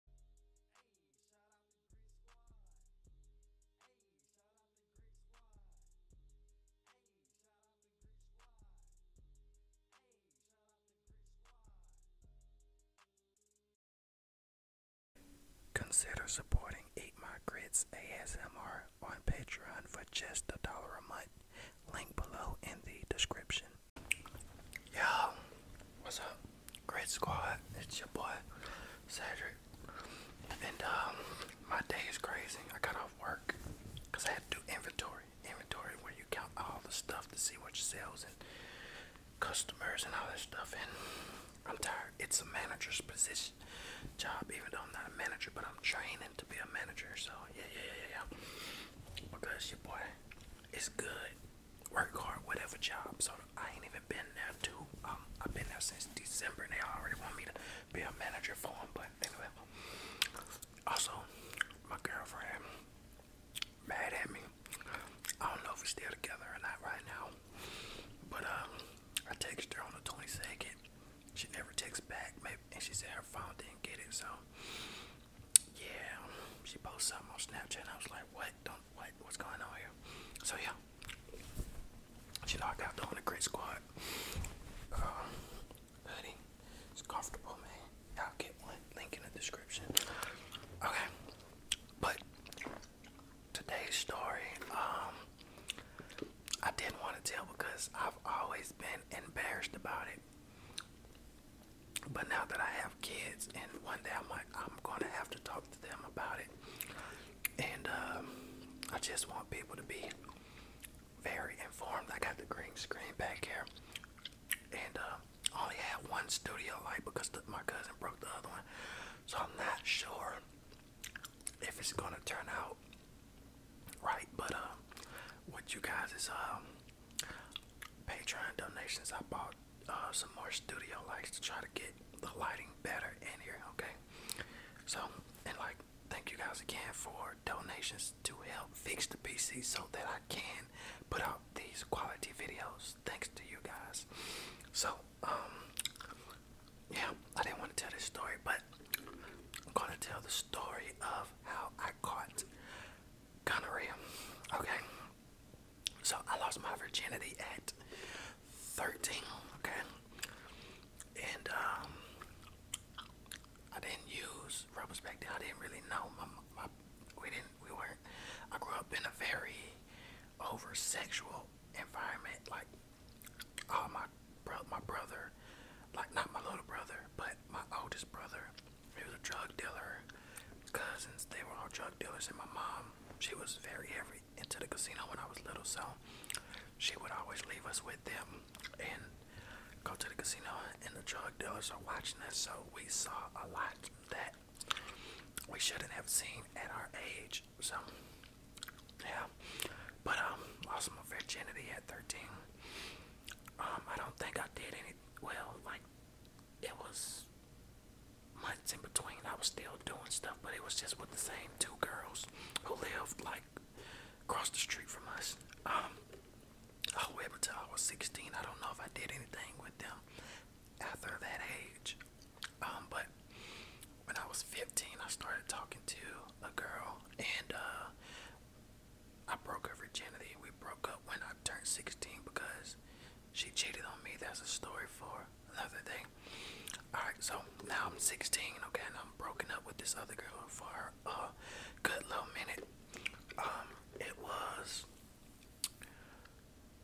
Hey, shout out the Great Squad. Hey, shout out the Great Squad. Hey, shout out the Great Squad. Hey, shout out the Great Squad. Consider supporting Eat My Grits ASMR on Patreon for just a dollar a month. Link below in the description. Yo, what's up? Great squad. It's your boy Cedric. And um my day is crazy. I got off work because I had to do inventory. Inventory where you count all the stuff to see what your sales and customers and all this stuff and I'm tired. It's a manager's position job, even though I'm not a manager, but I'm training to be a manager, so yeah yeah yeah yeah. Because your boy is good work hard, whatever job. So I ain't even been there too. Um, I've been there since December. And they already want me to be a manager for them. But anyway, also my girlfriend mad at me. I don't know if we're still together or not right now. But um, I texted her on the 22nd. She never texts back, maybe, and she said her phone didn't get it. So yeah, she posted something on Snapchat. I was like, what? Don't what what's going on here. So yeah, she knocked out doing a great squad. Um, uh, it's comfortable, man. Y'all get one link in the description. Okay, but today's story, um, I didn't want to tell because I've always been embarrassed about it. But now that I have kids, and one day I might, I'm gonna have to talk to them about it. And um, I just want people to be very informed. I got the green screen back here, and uh, only had one studio light because the, my cousin broke the other one. So I'm not sure if it's gonna turn out right. But uh, what you guys is um, Patreon donations. I bought uh, some more studio lights to try to get the lighting better in here, okay? So, and like, thank you guys again for donations to help fix the PC so that I can put out these quality videos. Thanks to you guys. So, um, yeah, I didn't want to tell this story, but I'm gonna tell the story of how I caught gonorrhea. Okay, so I lost my virginity at 13, okay? And um, I didn't use rubbers back then. I didn't really know. My, we didn't, we weren't. I grew up in a very over sexual environment. Like, all my, brother, my brother, like not my little brother, but my oldest brother he was a drug dealer. His cousins, they were all drug dealers. And my mom, she was very heavy into the casino when I was little. So she would always leave us with them and go to the casino. And the drug dealers are watching us. So we saw a lot that we shouldn't have seen at our age. So, yeah. But, um, lost my virginity at 13. Um, I don't think I did any, well, like, it was months in between. I was still doing stuff, but it was just with the same two girls who lived like across the street from us. Um, all I was 16. I don't know if I did anything with them after that age. Um, but when I was 15, I started talking to a girl, and uh, I broke her virginity. We broke up when I turned 16 because she cheated on me. That's a story for another day. Alright, so now I'm 16, okay, and I'm broken up with this other girl for a good little minute. Um, it was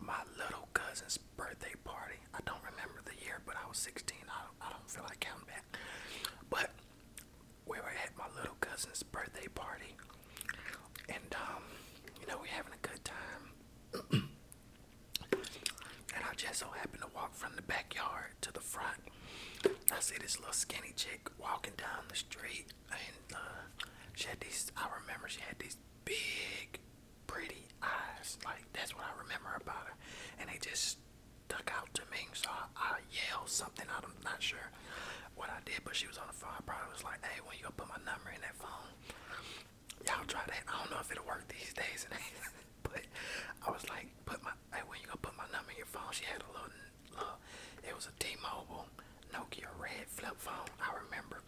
my little cousin's birthday party. I don't remember the year, but I was 16. I don't, I don't feel like counting back. But we were at my little cousin's birthday party, and um, you know, we're having a good time. and I just so happened to walk from the backyard to the front. I see this little skinny chick walking down the street, and uh, she had these. I remember she had these big, pretty eyes. Like that's what I remember about her, and they just stuck out to me. So I, I yelled something out I'm not sure what I did, but she was on the phone. I probably was like, hey, when you gonna put my number in that phone? Y'all try that. I don't know if it'll work these days. but I was like, put my hey, when you gonna put my number in your phone? She had a little, little it was a T-Mobile Nokia red flip phone. I remember.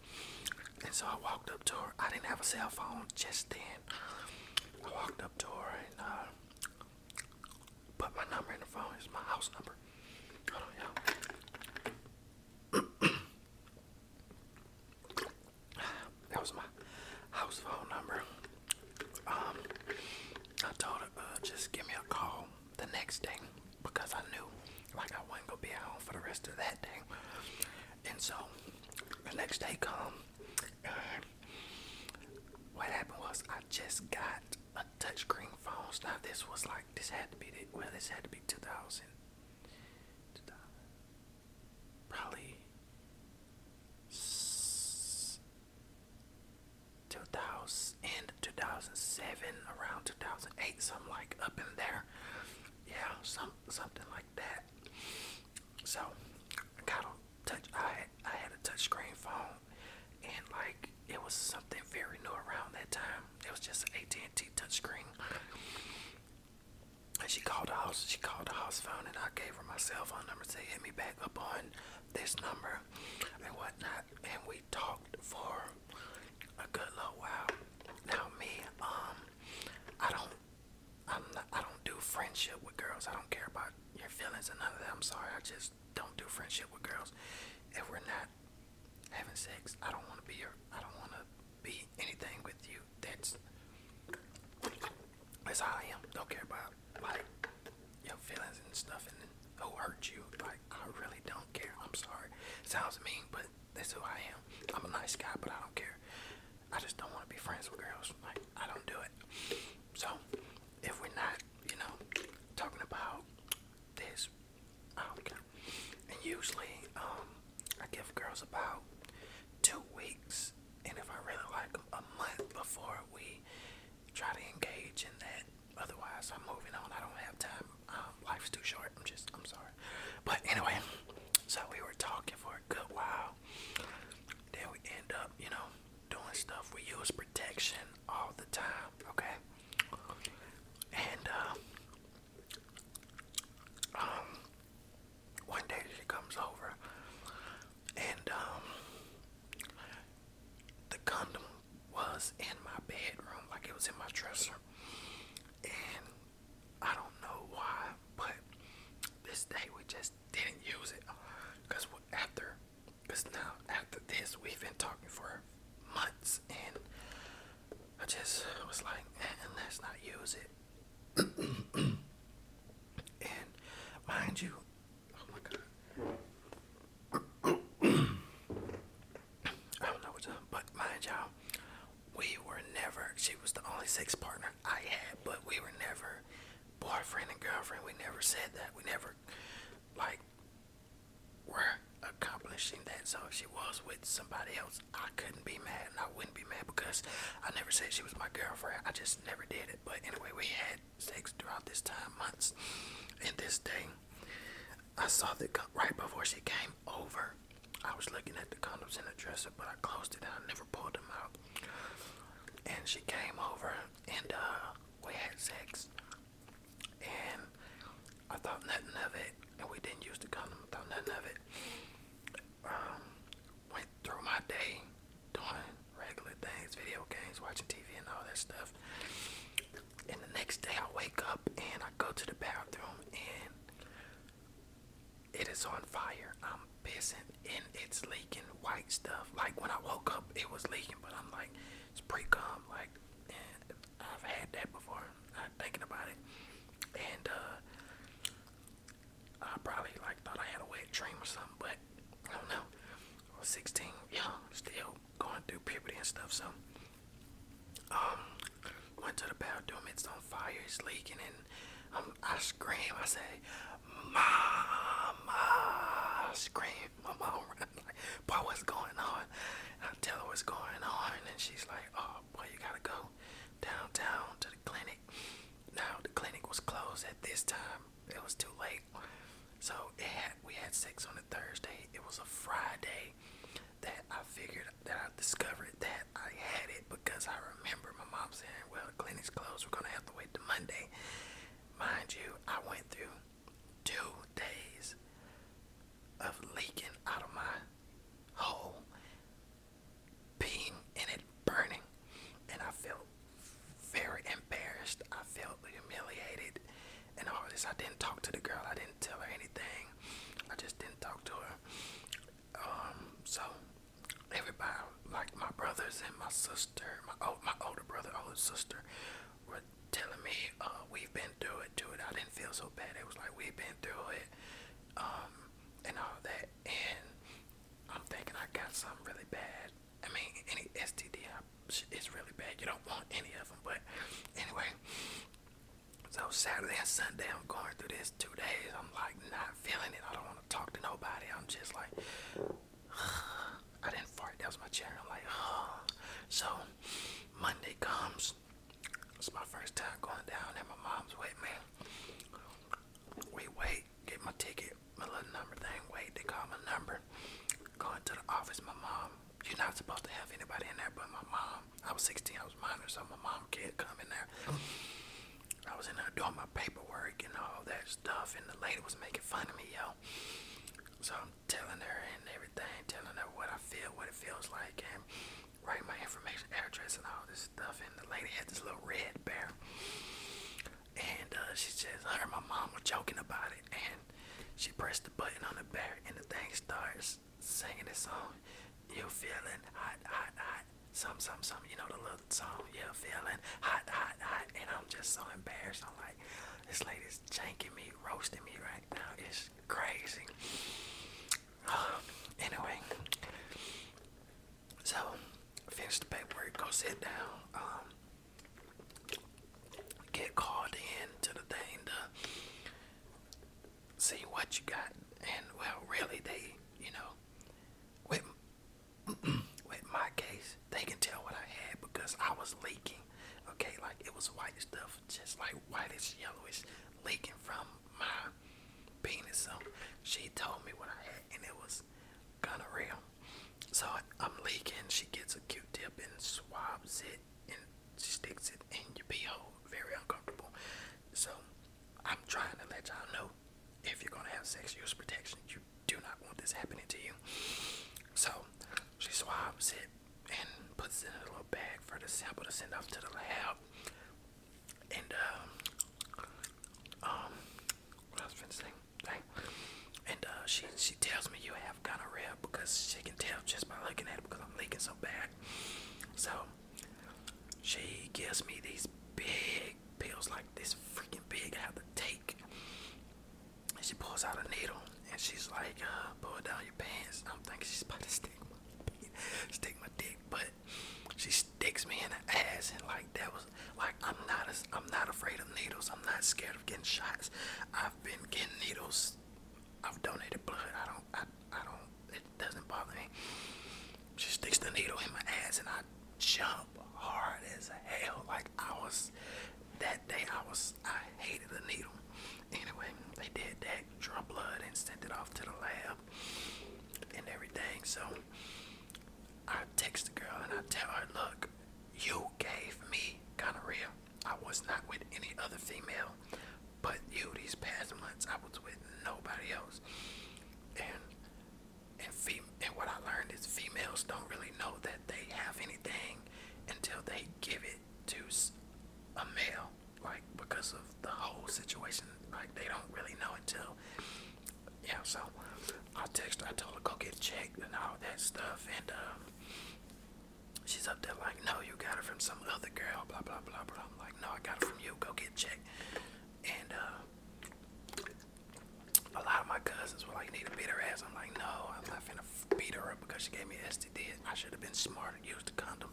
And so I walked up to her. I didn't have a cell phone just then. I walked up to her and uh, put my number in the phone. It's my house number that was my house phone number. Um, I told her just give me a call the next day because I knew like I wasn't gonna be at home for the rest of that day. And so the next day come. Uh, what happened was I just got a touchscreen phones. Now this was like this had to be the, well this had to be 2000, probably 2000 2007 around 2008 something like up in there. Yeah, some something like that. So got a touch I I had a touchscreen phone and like it was something very new around that time. It was just an AT&T touchscreen. And she called the house. She called the house phone, and I gave her my cell phone number. Said hit me back up on this number and whatnot. And we talked for a good little while. Now me, um, I don't, I'm not, I don't do friendship with girls. I don't care about your feelings and none of that. I'm sorry. I just don't do friendship with girls. If we're not having sex. I don't want to be your. I don't want to be anything with you. That's that's how I am. Don't care about like your feelings and stuff and who hurt you. Like I really don't care. I'm sorry. Sounds mean, but that's who I am. I'm a nice guy, but I don't care. I just don't want to be friends with girls. Like I don't do it. So if we're not, you know, talking about this Okay. Oh, and usually, um, I give girls about two weeks, and if I really like them, a month before we try to engage in that. Otherwise, I'm moving on. I don't have time. Um, life's too short. I'm just, I'm sorry. But anyway, so we were talking for a good while. Then we end up, you know, doing stuff. We use protection all the time okay? And uh, um, one day she comes over, and um, the condom was in my bedroom, like it was in my dresser, and I don't know why, but this day we just didn't use it, cause after because now, after this, we've been talking for months, and I just was like, eh, let's not use it. and mind you, oh my god. I don't know what's up, but mind y'all, we were never, she was the only sex partner I had, but we were never boyfriend and girlfriend. We never said that. We never, like, were accomplishing that. So she was with somebody else, I couldn't be mad and I wouldn't be mad because I never said she was my girlfriend. I just never did it. But anyway, we had sex throughout this time, months. And this day, I saw the right before she came over, I was looking at the condoms in the dresser, but I closed it and I never pulled them out. And she came over and uh, we had sex and I thought nothing of it, and we didn't use the condom. thought nothing of it. Um, went through my day doing regular things, video games, watching TV, and all that stuff. And the next day, I wake up and I go to the bathroom, and it is on fire. I'm pissing, and it's leaking white stuff. Like when I woke up, it was leaking, but I'm like, it's pre cum. Like I've had that before, not uh, thinking about it. And uh, I probably like thought I had a wet dream or something, but I don't know. 16, yeah, still going through puberty and stuff, so um went to the bathroom, it's on fire, it's leaking and I scream, I say, Mama I scream my mom ran, like, boy, what's going on? I tell her what's going on, and she's like, oh, boy, you gotta go downtown to the clinic. Now, the clinic was closed at this time. It was too late. So, we had sex on a Thursday. It was a Friday that I figured, that I discovered that I had it because I remember my mom saying, well, the clinic's closed. We're gonna have to wait till Monday. Mind you, I went through two days of leaking out of my hole, being in it, burning, and I felt very embarrassed. I felt humiliated, and all this. I didn't talk to the girl. I didn't tell her anything. I just didn't talk to her. Um, so everybody, like my brothers and my sister, my older brother, older sister, were telling me uh, we've been through it, through it. I didn't feel so bad. It was like we've been through it, um, and all that. And I'm thinking I got something really bad. I mean, any STD is really bad. You don't want any of them, but anyway. So Saturday and Sunday, I'm going through this two days. I'm like not feeling it. I don't want to talk to nobody. I'm just like, I didn't fart. That was my chair. I'm like, oh. so Monday comes. It's my first time going down and My mom's with me. We wait, get my ticket, my little number thing. Wait, they call my number. Going to the office. My mom. You're not supposed to have anybody in there, but my mom. I was 16. I was minor, so my mom can't come in there. I was in there doing my paperwork and all that stuff, and the lady was making fun of me, yo. So telling her and everything, telling her what I feel, what it feels like, and write my information, address, and all this stuff. And the lady had this little red bear, and uh, she just her and my mom were joking about it, and she pressed the button on the bear, and the thing starts singing this song. You feeling hot, hot, hot, some, some, some. You know the little song. You feeling hot, hot, hot, and I'm just so embarrassed. I'm like, this lady is me, roasting me right now. It's crazy. anyway, so finish the paperwork, go sit down, um, get called in to the thing to see what you got. And well, really, they, you know, with with my case, they can tell what I had because I was leaking. Okay, like it was whitish stuff, just like whitish, yellowish, leaking from my penis. So she told me what I had, and it was gonorrhea. So I'm leaking. She gets a Q-tip and swabs it, and sticks it in your pee hole. Very uncomfortable. So I'm trying to let y'all know if you're gonna have sex, use protection. You do not want this happening to you. So she swabs it and puts it in a little bag for the sample to send off to the lab. And um, um, what else was saying? Dang. And uh, she she tells me you have gonorrhea because she can tell just by looking at it because I'm leaking so bad. So she gives me these big pills like this freaking big. I have to take she pulls out a needle and she's like, uh, pull down your pants. I'm thinking she's about to stick my stick my dick, but she sticks me in the ass and like that was like I'm not I'm not afraid of needles. I'm not scared of getting shots. I've been getting needles. I've donated blood. I don't I, I don't it doesn't bother me. She sticks the needle in my ass and I jump hard as hell. Like I was that day I was I hated the needle. Anyway, they did that, draw blood and sent it off to the lab and everything. So I text the girl and I tell her, look, you gave me gonorrhea. I was not with any other female but you these past months I was with nobody else. And and fem and what I learned is females don't really know that they have anything until they give it to a male, like because of the whole situation. Like they don't really know until, yeah. So I text her, I told her go get checked and all that stuff, and um, she's up there like, no, you got it from some other girl, blah blah blah blah. I'm like, no, I got it from you. Go get checked, and uh, a lot of my cousins were like, need to beat her ass. I'm like, no, I'm not finna beat her up because she gave me an STD. I should have been smarter, used a condom.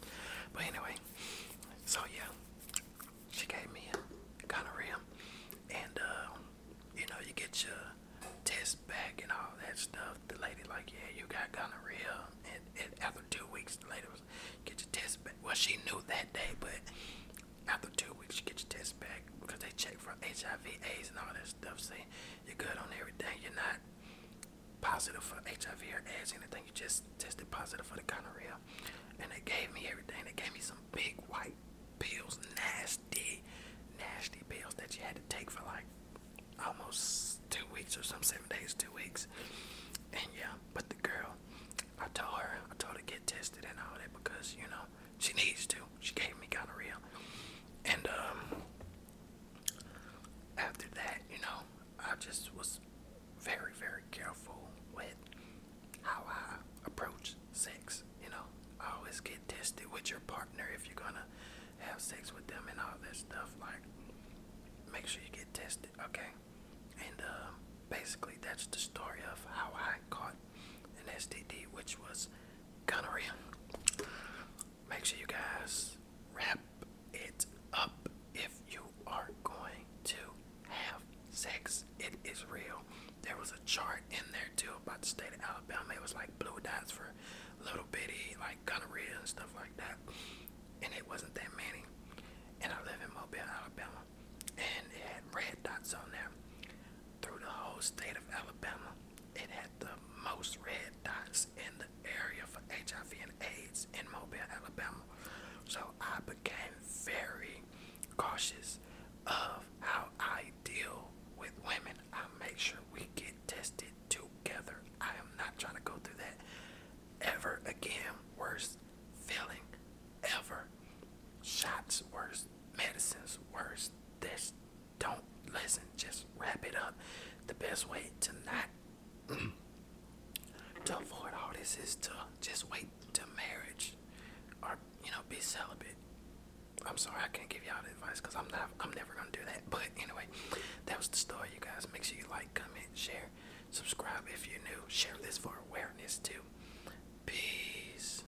But anyway, so yeah, she gave me a gonorrhea. And, uh, you know, you get your test back and all that stuff. The lady like, yeah, you got gonorrhea. And, and after two weeks, the lady was, get your test back. Well, she knew that day, but after after two weeks, you get your test back because they check for HIV, AIDS, and all that stuff. Saying you're good on everything, you're not positive for HIV or AIDS, anything. You just tested positive for the gonorrhea, and they gave me everything. They gave me some big white pills, nasty, nasty pills that you had to take for like almost two weeks or some seven days, two weeks. And yeah, but the girl, I told her, I told her to get tested and all that because you know she needs to. She gave me gonorrhea. And um after that, you know, I just was very, very careful with how I approach sex, you know. I always get tested with your partner if you're gonna have sex with them and all that stuff. Like make sure you get tested, okay? And um basically that's the story of how I caught an STD which was gonorrhea. Make sure you guys wrap it up if you are going to have sex. It is real. There was a chart in there too about the state of Alabama. It was like blue dots for little bitty, like gonorrhea and stuff like that. And it wasn't that many. And I live in Mobile, Alabama. And it had red dots on there through the whole state of Alabama. It had the most red dots in the area for HIV and AIDS in Mobile, Alabama. So I became very cautious of how I deal with women. I make sure we get tested together. I am not trying to go through that ever again. Worst feeling ever. Shots Worst medicines Worst. This don't listen, just wrap it up. The best way to not to avoid all this is to just wait till marriage or you know, be celibate. I'm sorry I can't give y'all the advice because I'm not I'm never gonna do that. But anyway, that was the story you guys. Make sure you like, comment, share, subscribe if you're new, share this for awareness too. Peace.